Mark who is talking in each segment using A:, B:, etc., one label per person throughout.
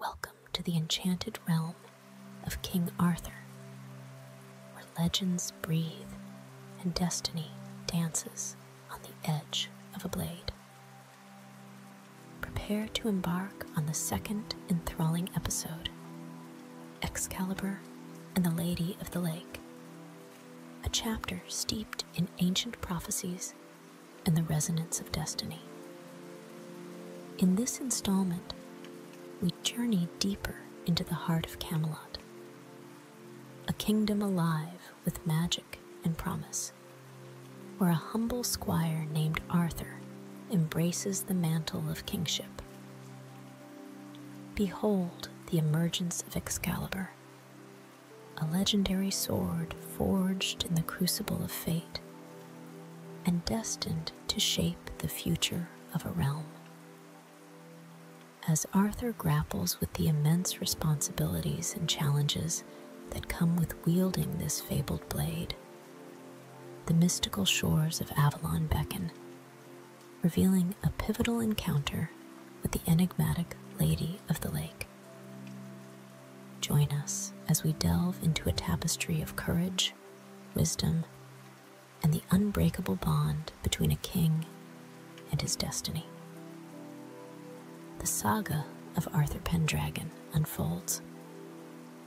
A: Welcome to the enchanted realm of King Arthur, where legends breathe and destiny dances on the edge of a blade. Prepare to embark on the second enthralling episode Excalibur and the Lady of the Lake, a chapter steeped in ancient prophecies and the resonance of destiny. In this installment, we journey deeper into the heart of Camelot, a kingdom alive with magic and promise, where a humble squire named Arthur embraces the mantle of kingship. Behold the emergence of Excalibur, a legendary sword forged in the crucible of fate and destined to shape the future of a realm. As Arthur grapples with the immense responsibilities and challenges that come with wielding this fabled blade, the mystical shores of Avalon beckon, revealing a pivotal encounter with the enigmatic Lady of the Lake. Join us as we delve into a tapestry of courage, wisdom, and the unbreakable bond between a king and his destiny. The saga of Arthur Pendragon unfolds,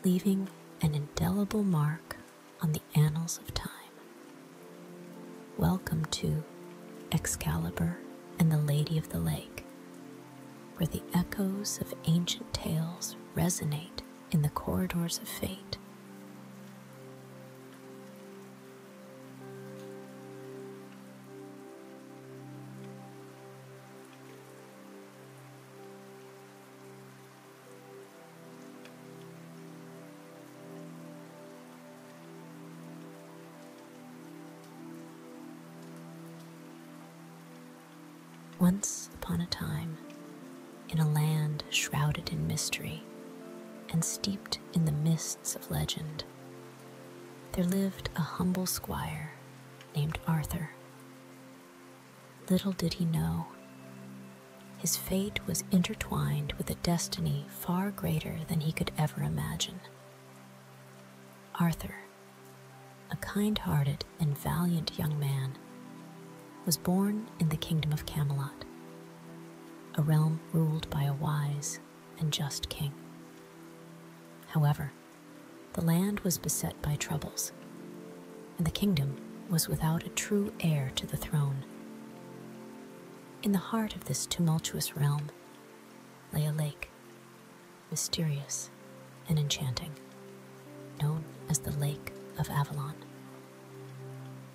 A: leaving an indelible mark on the annals of time. Welcome to Excalibur and the Lady of the Lake, where the echoes of ancient tales resonate in the corridors of fate. Once upon a time, in a land shrouded in mystery and steeped in the mists of legend, there lived a humble squire named Arthur. Little did he know, his fate was intertwined with a destiny far greater than he could ever imagine. Arthur a kind hearted and valiant young man, was born in the kingdom of Camelot, a realm ruled by a wise and just king. However, the land was beset by troubles, and the kingdom was without a true heir to the throne. In the heart of this tumultuous realm lay a lake mysterious, and enchanting, known as the Lake of Avalon.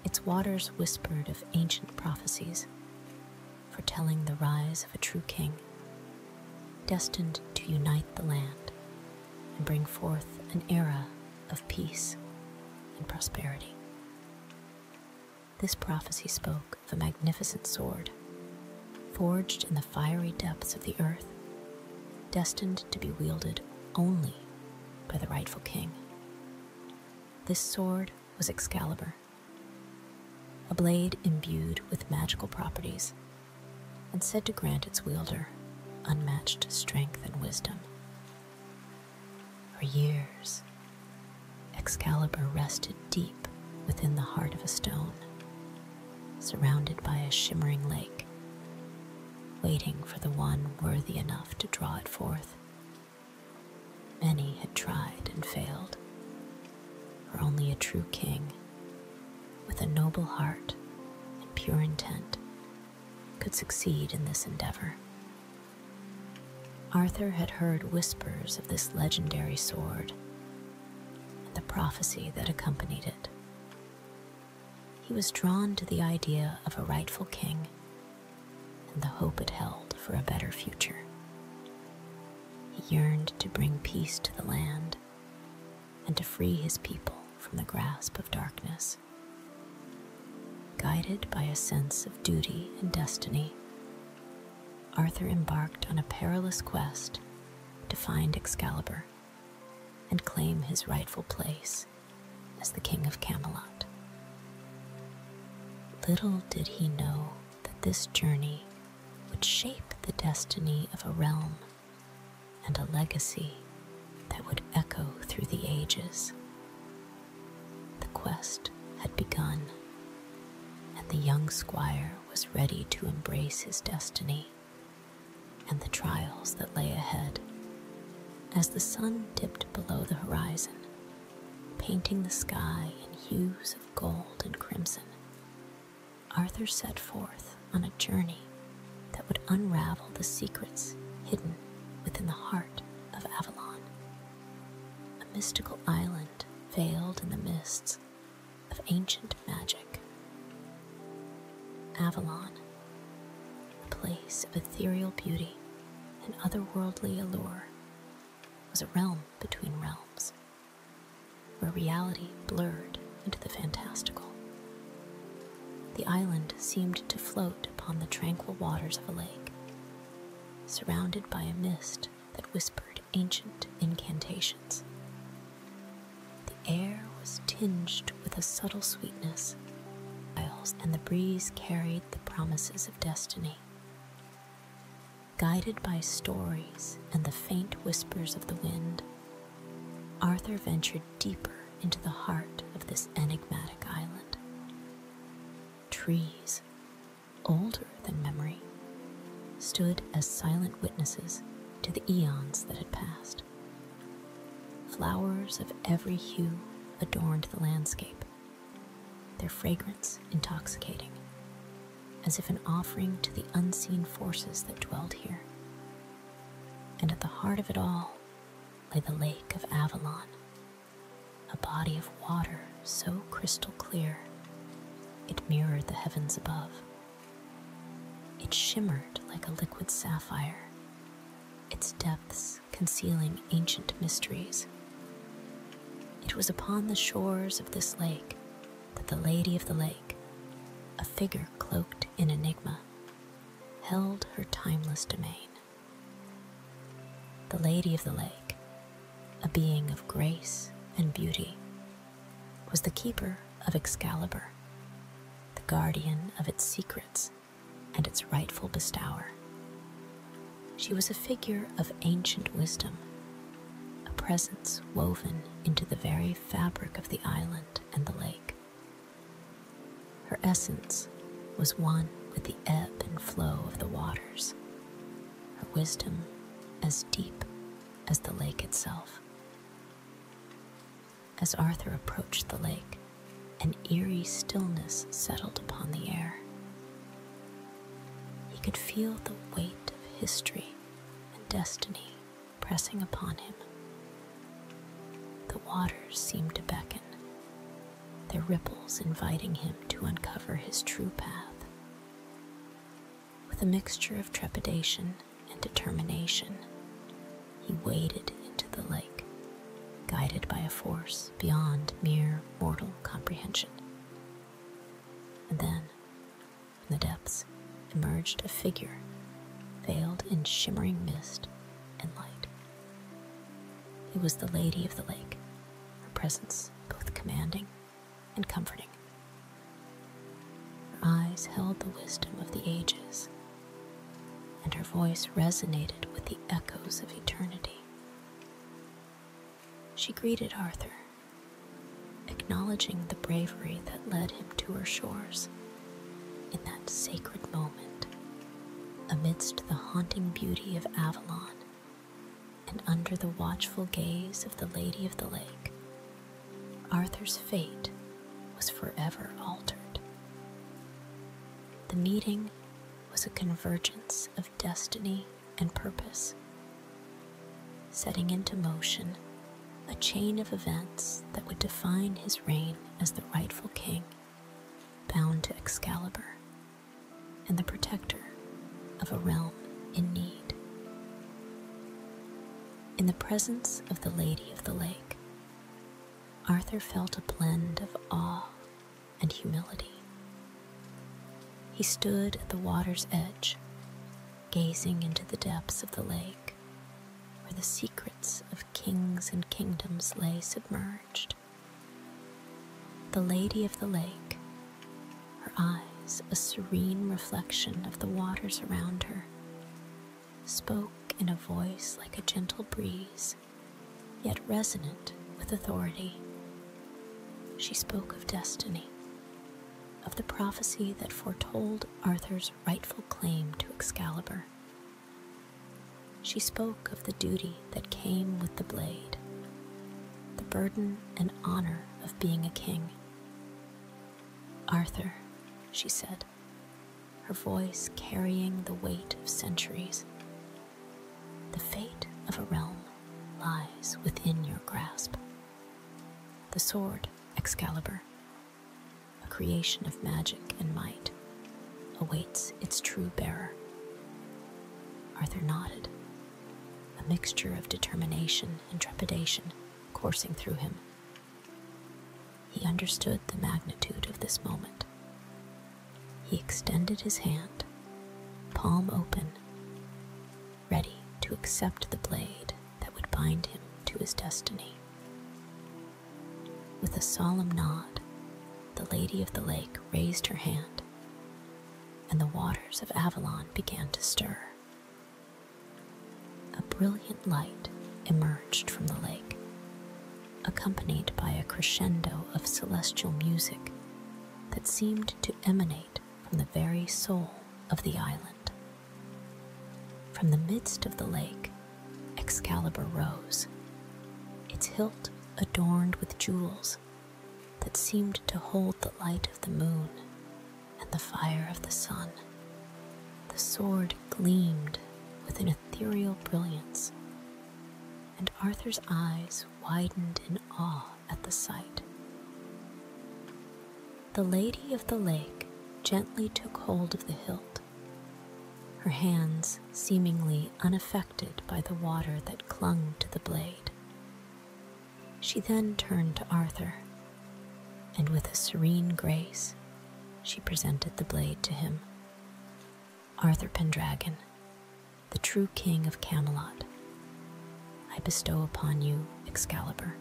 A: Its waters whispered of ancient prophecies, foretelling the rise of a true king, destined to unite the land and bring forth an era of peace and prosperity. This prophecy spoke of a magnificent sword forged in the fiery depths of the earth, destined to be wielded only by the rightful king. This sword was Excalibur, a blade imbued with magical properties and said to grant its wielder unmatched strength and wisdom. For years, Excalibur rested deep within the heart of a stone, surrounded by a shimmering lake, waiting for the one worthy enough to draw it forth. Many had tried and failed, for only a true king, with a noble heart and pure intent, could succeed in this endeavor. Arthur had heard whispers of this legendary sword and the prophecy that accompanied it. He was drawn to the idea of a rightful king and the hope it held for a better future. He yearned to bring peace to the land and to free his people from the grasp of darkness. Guided by a sense of duty and destiny, Arthur embarked on a perilous quest to find Excalibur and claim his rightful place as the King of Camelot. Little did he know that this journey would shape the destiny of a realm and a legacy that would echo through the ages. The quest had begun, and the young squire was ready to embrace his destiny and the trials that lay ahead as the sun dipped below the horizon, painting the sky in hues of gold and crimson. Arthur set forth on a journey that would unravel the secrets hidden within the heart of Avalon, a mystical island veiled in the mists of ancient magic. Avalon, a place of ethereal beauty and otherworldly allure, was a realm between realms, where reality blurred into the fantastical. The island seemed to float upon the tranquil waters of a lake, surrounded by a mist that whispered ancient incantations. The air was tinged with a subtle sweetness, and the breeze carried the promises of destiny. Guided by stories and the faint whispers of the wind, Arthur ventured deeper into the heart of this enigmatic island. Trees, older than memory, stood as silent witnesses to the eons that had passed. Flowers of every hue adorned the landscape, their fragrance intoxicating, as if an offering to the unseen forces that dwelled here. And at the heart of it all lay the Lake of Avalon, a body of water so crystal clear it mirrored the heavens above. It shimmered like a liquid sapphire, its depths concealing ancient mysteries. It was upon the shores of this lake that the Lady of the Lake, a figure cloaked in enigma, held her timeless domain. The Lady of the Lake, a being of grace and beauty, was the keeper of Excalibur, the guardian of its secrets and its rightful bestower. She was a figure of ancient wisdom, a presence woven into the very fabric of the island and the lake. Her essence was one with the ebb and flow of the waters, her wisdom as deep as the lake itself. As Arthur approached the lake, an eerie stillness settled upon the air. He could feel the weight of history and destiny pressing upon him. The waters seemed to beckon, their ripples inviting him to uncover his true path. With a mixture of trepidation and determination, he waded into the lake, guided by a force beyond mere mortal comprehension. And then, from the depths, emerged a figure veiled in shimmering mist and light. It was the Lady of the Lake, her presence both commanding and comforting. Her eyes held the wisdom of the ages, and her voice resonated with the echoes of eternity. She greeted Arthur, acknowledging the bravery that led him to her shores in that sacred moment amidst the haunting beauty of Avalon and under the watchful gaze of the Lady of the Lake. Arthur's fate was forever altered. The meeting was a convergence of destiny and purpose, setting into motion a chain of events that would define his reign as the rightful king, bound to Excalibur, and the protector of a realm in need. In the presence of the Lady of the Lake, Arthur felt a blend of awe and humility. He stood at the water's edge, gazing into the depths of the lake, where the secrets of kings and kingdoms lay submerged. The Lady of the Lake, her eyes a serene reflection of the waters around her, spoke in a voice like a gentle breeze, yet resonant with authority. She spoke of destiny, of the prophecy that foretold Arthur's rightful claim to Excalibur. She spoke of the duty that came with the blade, the burden and honor of being a king. Arthur, she said, her voice carrying the weight of centuries. The fate of a realm lies within your grasp. The sword, Excalibur, a creation of magic and might, awaits its true bearer. Arthur nodded, a mixture of determination and trepidation coursing through him. He understood the magnitude of this moment. He extended his hand, palm open, ready to accept the blade that would bind him to his destiny. With a solemn nod, the Lady of the Lake raised her hand, and the waters of Avalon began to stir. A brilliant light emerged from the lake, accompanied by a crescendo of celestial music that seemed to emanate from the very soul of the island. From the midst of the lake, Excalibur rose, its hilt adorned with jewels that seemed to hold the light of the moon and the fire of the sun. The sword gleamed with an ethereal brilliance, and Arthur's eyes widened in awe at the sight. The Lady of the Lake gently took hold of the hilt, her hands seemingly unaffected by the water that clung to the blade. She then turned to Arthur, and with a serene grace, she presented the blade to him. Arthur Pendragon, the true king of Camelot, I bestow upon you Excalibur.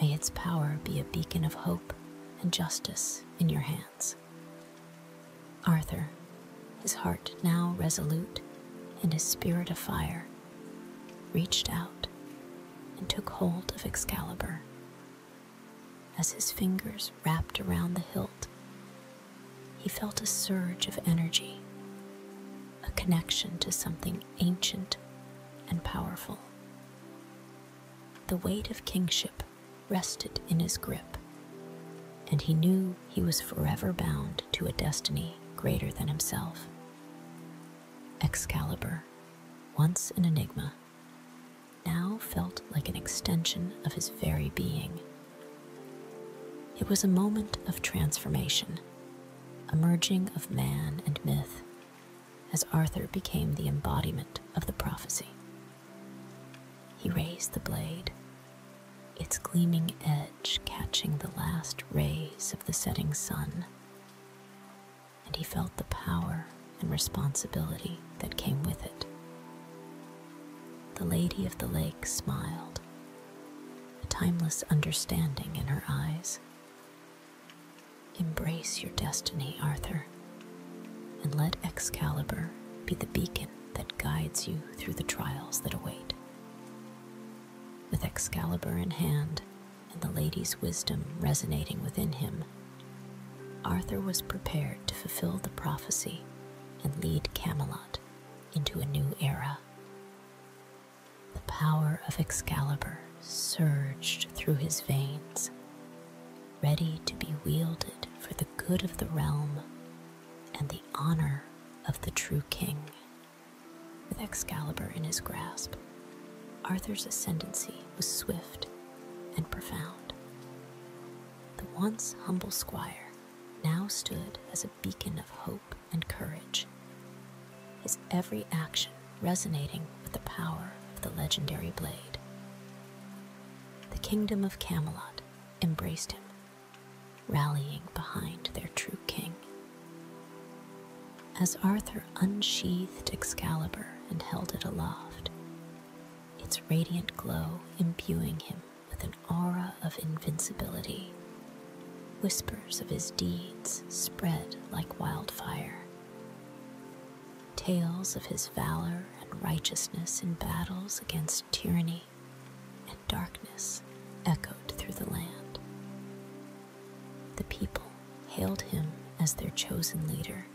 A: May its power be a beacon of hope and justice in your hands. Arthur, his heart now resolute and his spirit of fire reached out and took hold of Excalibur. As his fingers wrapped around the hilt, he felt a surge of energy, a connection to something ancient and powerful. The weight of kingship rested in his grip, and he knew he was forever bound to a destiny greater than himself. Excalibur, once an enigma, now felt like an extension of his very being. It was a moment of transformation, a merging of man and myth, as Arthur became the embodiment of the prophecy. He raised the blade, its gleaming edge catching the last rays of the setting sun and he felt the power and responsibility that came with it. The Lady of the Lake smiled, a timeless understanding in her eyes. Embrace your destiny, Arthur, and let Excalibur be the beacon that guides you through the trials that await. With Excalibur in hand, and the lady's wisdom resonating within him, Arthur was prepared to fulfill the prophecy and lead Camelot into a new era. The power of Excalibur surged through his veins, ready to be wielded for the good of the realm and the honor of the true king. With Excalibur in his grasp, Arthur's ascendancy was swift and profound. The once humble squire now stood as a beacon of hope and courage, his every action resonating with the power of the legendary blade. The kingdom of Camelot embraced him, rallying behind their true king. As Arthur unsheathed Excalibur and held it aloft, its radiant glow imbuing him with an aura of invincibility, whispers of his deeds spread like wildfire. Tales of his valor and righteousness in battles against tyranny and darkness echoed through the land. The people hailed him as their chosen leader,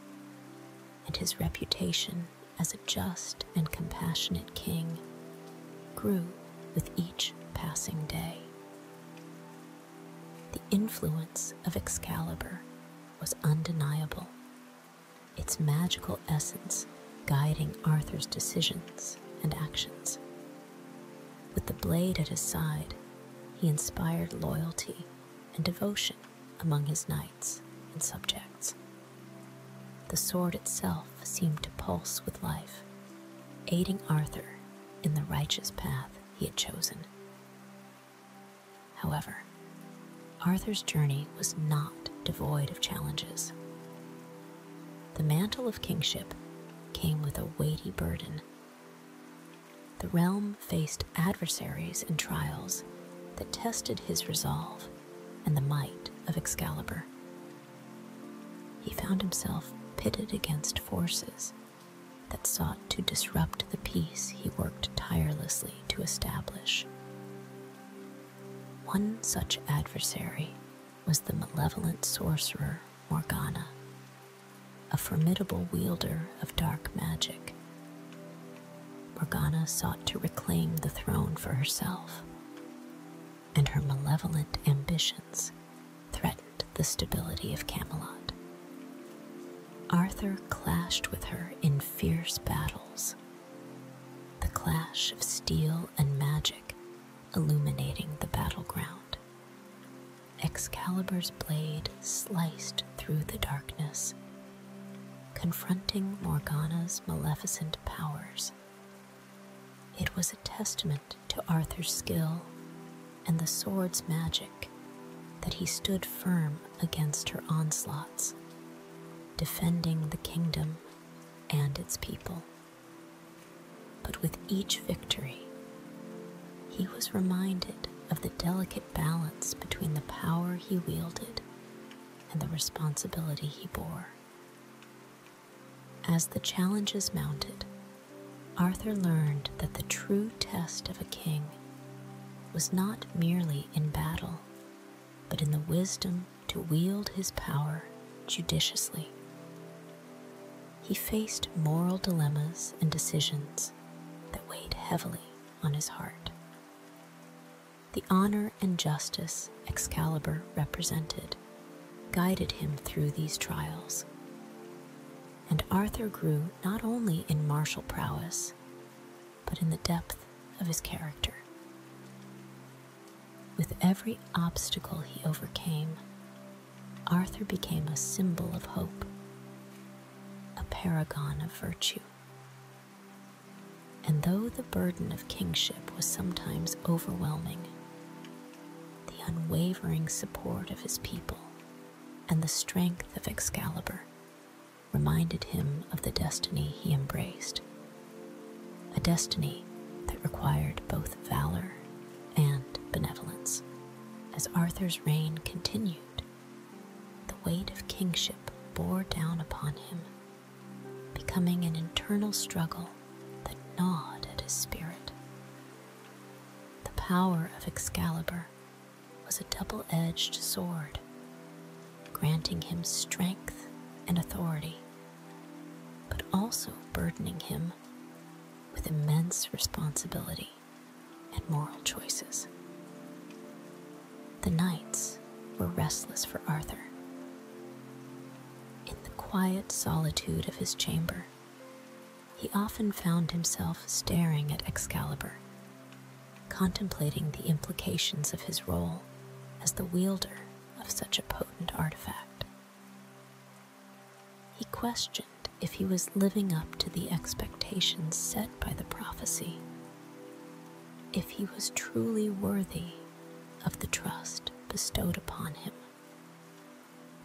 A: and his reputation as a just and compassionate king grew with each passing day. The influence of Excalibur was undeniable, its magical essence guiding Arthur's decisions and actions. With the blade at his side, he inspired loyalty and devotion among his knights and subjects. The sword itself seemed to pulse with life, aiding Arthur in the righteous path he had chosen. However, Arthur's journey was not devoid of challenges. The mantle of kingship came with a weighty burden the realm faced adversaries and trials that tested his resolve and the might of Excalibur. He found himself pitted against forces that sought to disrupt the peace he worked tirelessly to establish. One such adversary was the malevolent sorcerer Morgana, a formidable wielder of dark magic. Morgana sought to reclaim the throne for herself, and her malevolent ambitions threatened the stability of Camelot. Arthur clashed with her in fierce battles, the clash of steel and magic illuminating the battleground. Excalibur's blade sliced through the darkness, confronting Morgana's maleficent powers. It was a testament to Arthur's skill and the sword's magic that he stood firm against her onslaughts, defending the kingdom and its people. But with each victory, he was reminded of the delicate balance between the power he wielded and the responsibility he bore. As the challenges mounted, Arthur learned that the true test of a king was not merely in battle, but in the wisdom to wield his power judiciously he faced moral dilemmas and decisions that weighed heavily on his heart. The honor and justice Excalibur represented guided him through these trials, and Arthur grew not only in martial prowess, but in the depth of his character. With every obstacle he overcame, Arthur became a symbol of hope, a paragon of virtue. And though the burden of kingship was sometimes overwhelming, the unwavering support of his people and the strength of Excalibur reminded him of the destiny he embraced, a destiny that required both valor and benevolence. As Arthur's reign continued, the weight of kingship bore down upon him, becoming an internal struggle that gnawed at his spirit. The power of Excalibur was a double edged sword, granting him strength and authority, but also burdening him with immense responsibility and moral choices. The nights were restless for Arthur. In the quiet solitude of his chamber, he often found himself staring at Excalibur, contemplating the implications of his role as the wielder of such a potent artifact. He questioned if he was living up to the expectations set by the prophecy, if he was truly worthy of the trust bestowed upon him.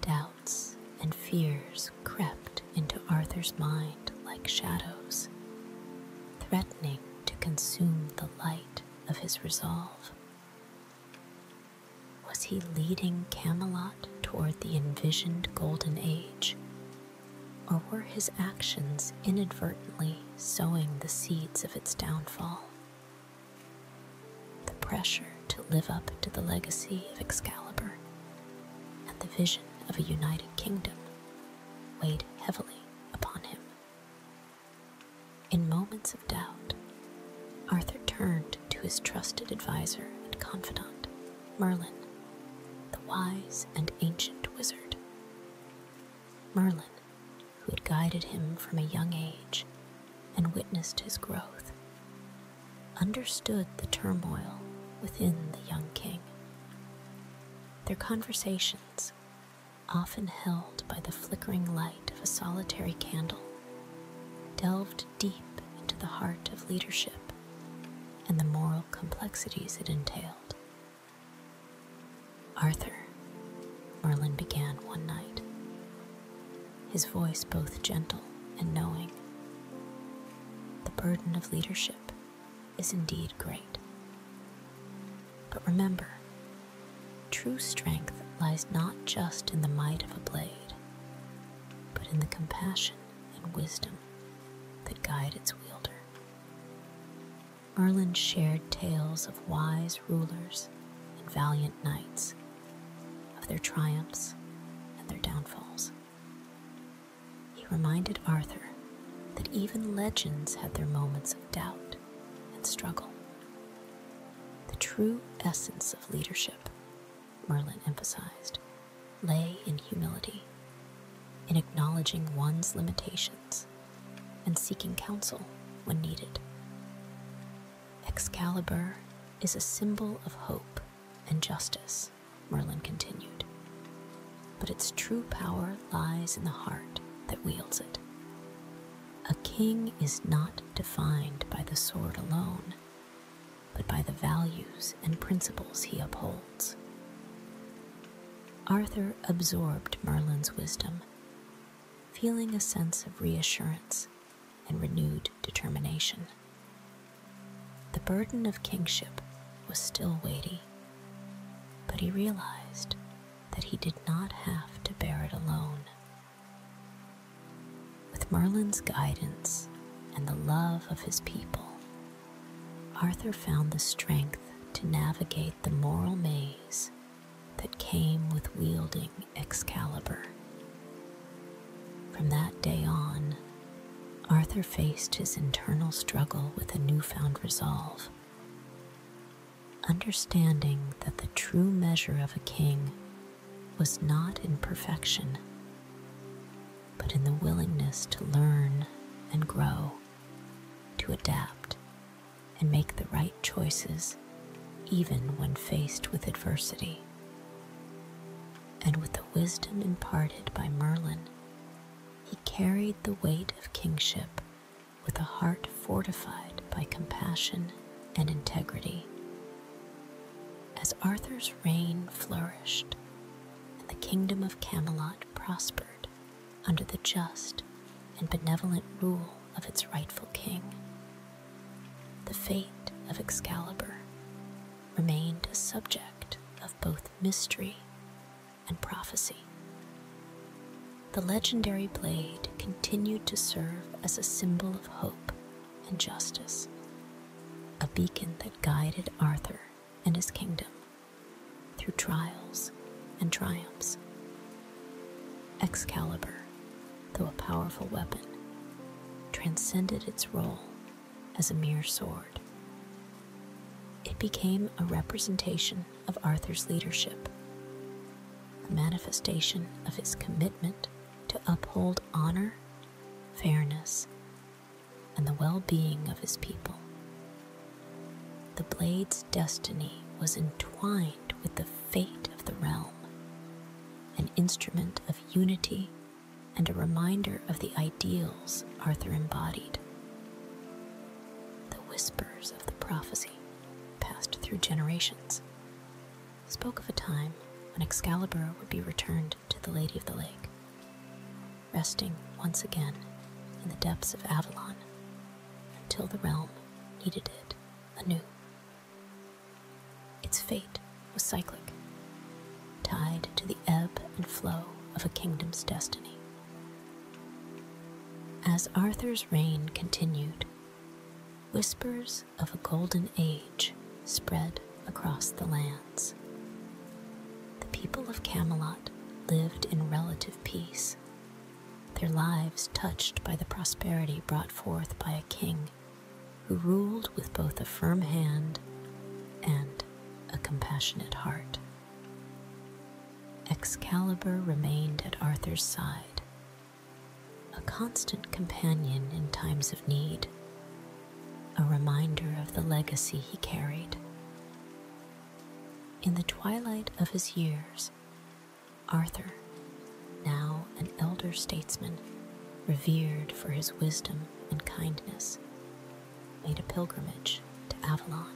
A: Doubts and fears crept into Arthur's mind like shadows, threatening to consume the light of his resolve. Was he leading Camelot toward the envisioned Golden Age? Or were his actions inadvertently sowing the seeds of its downfall? The pressure to live up to the legacy of Excalibur and the vision of a united kingdom weighed heavily upon him. In moments doubt, Arthur turned to his trusted adviser and confidant, Merlin, the wise and ancient wizard. Merlin, who had guided him from a young age and witnessed his growth, understood the turmoil within the young king. Their conversations, often held by the flickering light of a solitary candle, delved deep into the heart of leadership and the moral complexities it entailed. Arthur, Merlin began one night, his voice both gentle and knowing. The burden of leadership is indeed great. But remember, true strength lies not just in the might of a blade, but in the compassion and wisdom that guide its wielder. Merlin shared tales of wise rulers and valiant knights, of their triumphs and their downfalls. He reminded Arthur that even legends had their moments of doubt and struggle. The true essence of leadership Merlin emphasized, lay in humility, in acknowledging one's limitations, and seeking counsel when needed. Excalibur is a symbol of hope and justice, Merlin continued, but its true power lies in the heart that wields it. A king is not defined by the sword alone, but by the values and principles he upholds. Arthur absorbed Merlin's wisdom, feeling a sense of reassurance and renewed determination. The burden of kingship was still weighty, but he realized that he did not have to bear it alone. With Merlin's guidance and the love of his people, Arthur found the strength to navigate the moral maze that came with wielding Excalibur. From that day on, Arthur faced his internal struggle with a newfound resolve. Understanding that the true measure of a king was not in perfection, but in the willingness to learn and grow, to adapt and make the right choices even when faced with adversity. And with the wisdom imparted by Merlin, he carried the weight of kingship with a heart fortified by compassion and integrity as Arthur's reign flourished and the kingdom of Camelot prospered under the just and benevolent rule of its rightful king, the fate of Excalibur remained a subject of both mystery and prophecy. The legendary blade continued to serve as a symbol of hope and justice, a beacon that guided Arthur and his kingdom through trials and triumphs. Excalibur, though a powerful weapon, transcended its role as a mere sword. It became a representation of Arthur's leadership, a manifestation of his commitment to uphold honor, fairness, and the well being of his people. The blade's destiny was entwined with the fate of the realm, an instrument of unity and a reminder of the ideals Arthur embodied. The whispers of the prophecy passed through generations, spoke of a time when Excalibur would be returned to the Lady of the Lake, resting once again in the depths of Avalon until the realm needed it anew. Its fate was cyclic, tied to the ebb and flow of a kingdom's destiny. As Arthur's reign continued, whispers of a golden age spread across the lands. The people of Camelot lived in relative peace, their lives touched by the prosperity brought forth by a king who ruled with both a firm hand and a compassionate heart. Excalibur remained at Arthur's side a constant companion in times of need, a reminder of the legacy he carried. In the twilight of his years, Arthur, now an elder statesman, revered for his wisdom and kindness, made a pilgrimage to Avalon.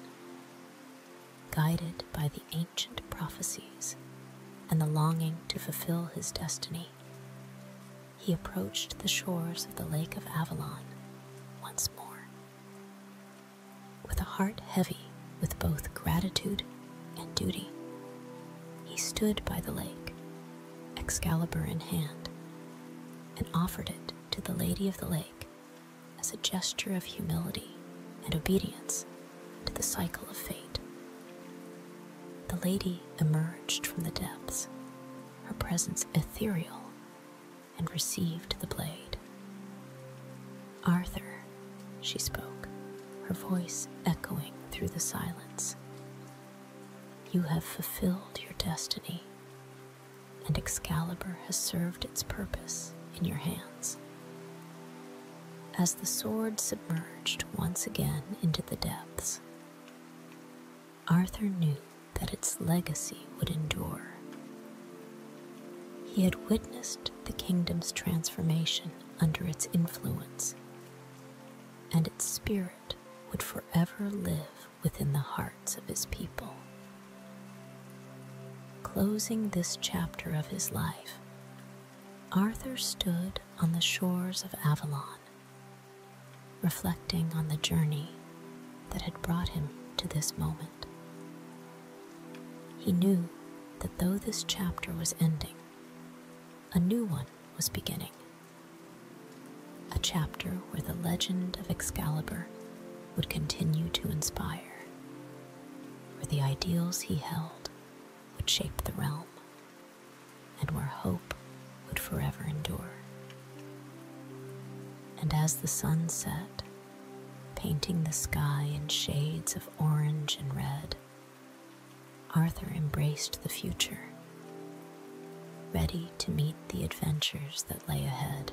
A: Guided by the ancient prophecies and the longing to fulfill his destiny, he approached the shores of the Lake of Avalon once more, with a heart heavy with both gratitude and duty. He stood by the lake, Excalibur in hand, and offered it to the Lady of the Lake as a gesture of humility and obedience to the cycle of fate. The lady emerged from the depths, her presence ethereal, and received the blade. Arthur, she spoke, her voice echoing through the silence. You have fulfilled your destiny, and Excalibur has served its purpose in your hands as the sword submerged once again into the depths. Arthur knew that its legacy would endure. He had witnessed the kingdom's transformation under its influence, and its spirit would forever live within the hearts of his people. Closing this chapter of his life, Arthur stood on the shores of Avalon, reflecting on the journey that had brought him to this moment. He knew that though this chapter was ending, a new one was beginning. A chapter where the legend of Excalibur would continue to inspire, where the ideals he held would shape the realm, and where hope would forever endure. And as the sun set, painting the sky in shades of orange and red, Arthur embraced the future, ready to meet the adventures that lay ahead.